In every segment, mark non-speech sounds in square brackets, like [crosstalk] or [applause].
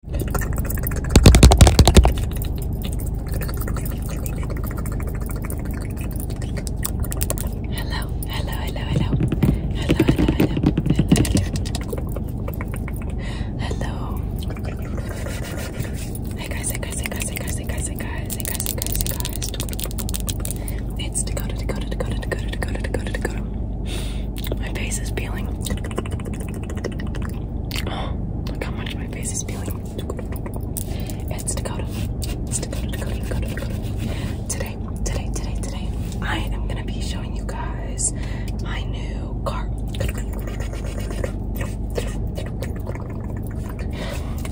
Hello, hello, hello, hello. Hello, hello, hello, hello. Hey guys, hey guys, hey guys, hey guys, hey guys, hey guys, hey guys, hey guys, It's Dakota, Dakota, Dakota, Dakota, Dakota, Dakota. My face is peeling. [gasps] look how much my face is peeling. It's Dakota. Dakota, Dakota, Dakota, Today, today, today, today, I am gonna be showing you guys my new car.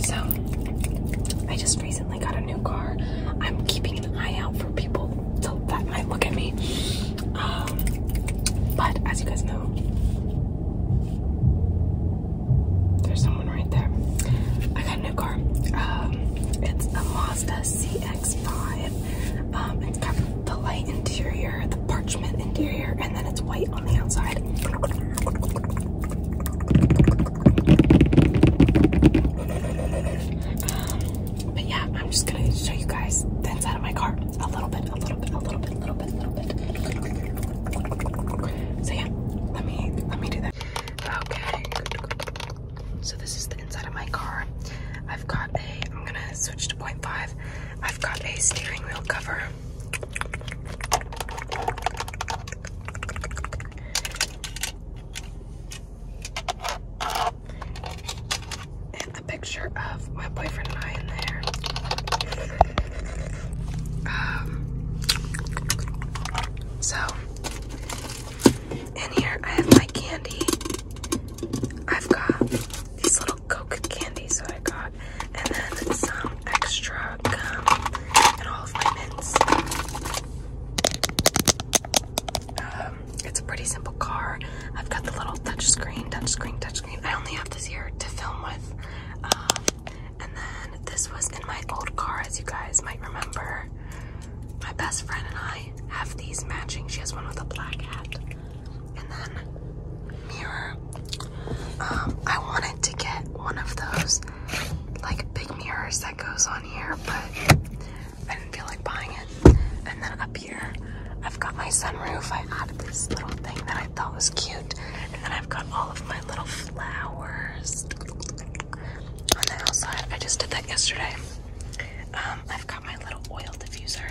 So, I just recently got new car, I'm keeping an eye out for people till that might look at me. Um, but as you guys know, there's someone right there. I got a new car. Um, it's a Mazda CX5. Um, it's got the light interior, the parchment interior, and then it's white on the outside but yeah, I'm just gonna show you guys the inside of my car a little bit, a little bit, a little bit, a little bit, a little bit. So yeah, let me let me do that. Okay. So this is the inside of my car. I've got a. I'm gonna switch to point five. I've got a steering wheel cover and a picture of my boyfriend and I in there. Um, so, in here I have my candy. I've got these little Coke candies that I got, and then some extra gum. Um, it's a pretty simple car. I've got the little touchscreen, touchscreen, touchscreen. I only have this here to film with. Um, and then this was in my old car, as you guys might remember. My best friend and I have these matching. She has one with a black hat. And then mirror. Um, I wanted to get one of those like big mirrors that goes on here, but I didn't feel like buying it. And then up here, I've got my sunroof. I added this little thing that I thought was cute. And then I've got all of my little flowers on the outside. I just did that yesterday. Um, I've got my little oil diffuser.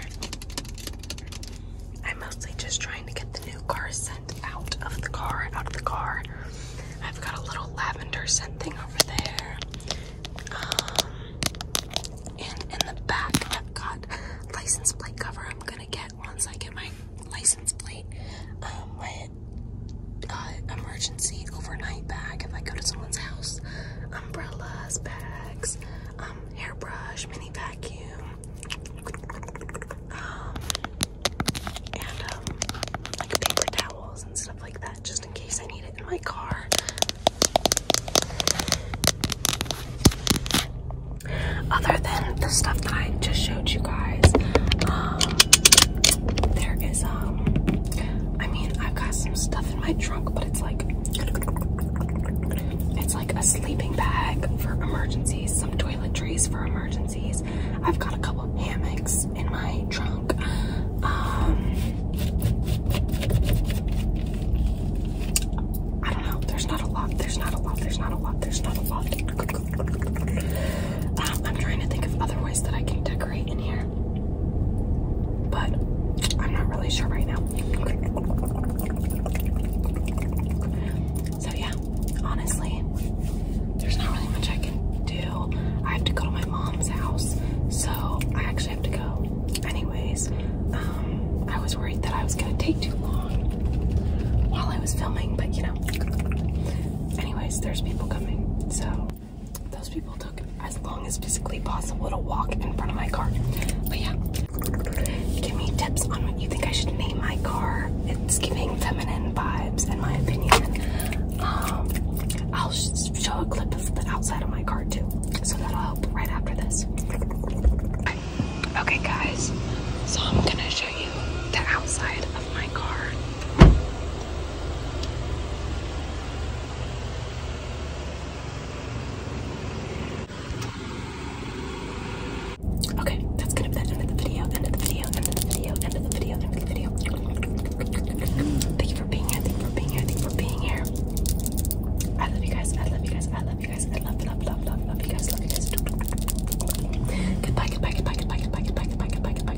I'm mostly just trying to get the new car sent out of the car, out of the car. I've got a little lavender scent thing over there. Um, and in the back, I've got license plate cover. I'm gonna get once I get my license plate, um, my uh, emergency overnight bag if I go to someone's house. Umbrellas, bags, um, hairbrush, mini vacuum, um, like paper towels and stuff like that, just in case I need it in my car. Other than the stuff that I just showed you guys, um, there is, um, I mean, I've got some stuff in my trunk, but it's like, like a sleeping bag for emergencies, some toiletries for emergencies. I've got a couple hammocks in my trunk. Um, I don't know. There's not a lot. There's not a lot. There's not a lot. There's not a lot. Um, I'm trying to think of other ways that I can decorate in here, but I'm not really sure right now. So yeah, honestly, there's not really much I can do. I have to go to my mom's house, so I actually have to go. Anyways, um, I was worried that I was gonna take too long while I was filming, but you know. Anyways, there's people coming, so those people took as long as physically possible to walk in front of my car. But yeah, give me tips on what you think I should name my car. It's giving feminine vibes, in my opinion. Um, I'll show a clip of the outside of my car too, so that'll help right after this. Okay, guys, so I'm gonna show you the outside of my car. Okay, that's gonna be the end of the video, end of the video, end of the video, end of the video, end of the video. Thank you for being here, thank you for being here, thank you for being here. I love you guys, I love you guys, I love you guys, I love, love, love, love, love you guys, love you guys. Goodbye, goodbye, goodbye, goodbye, goodbye, goodbye, goodbye, goodbye, goodbye, goodbye, goodbye.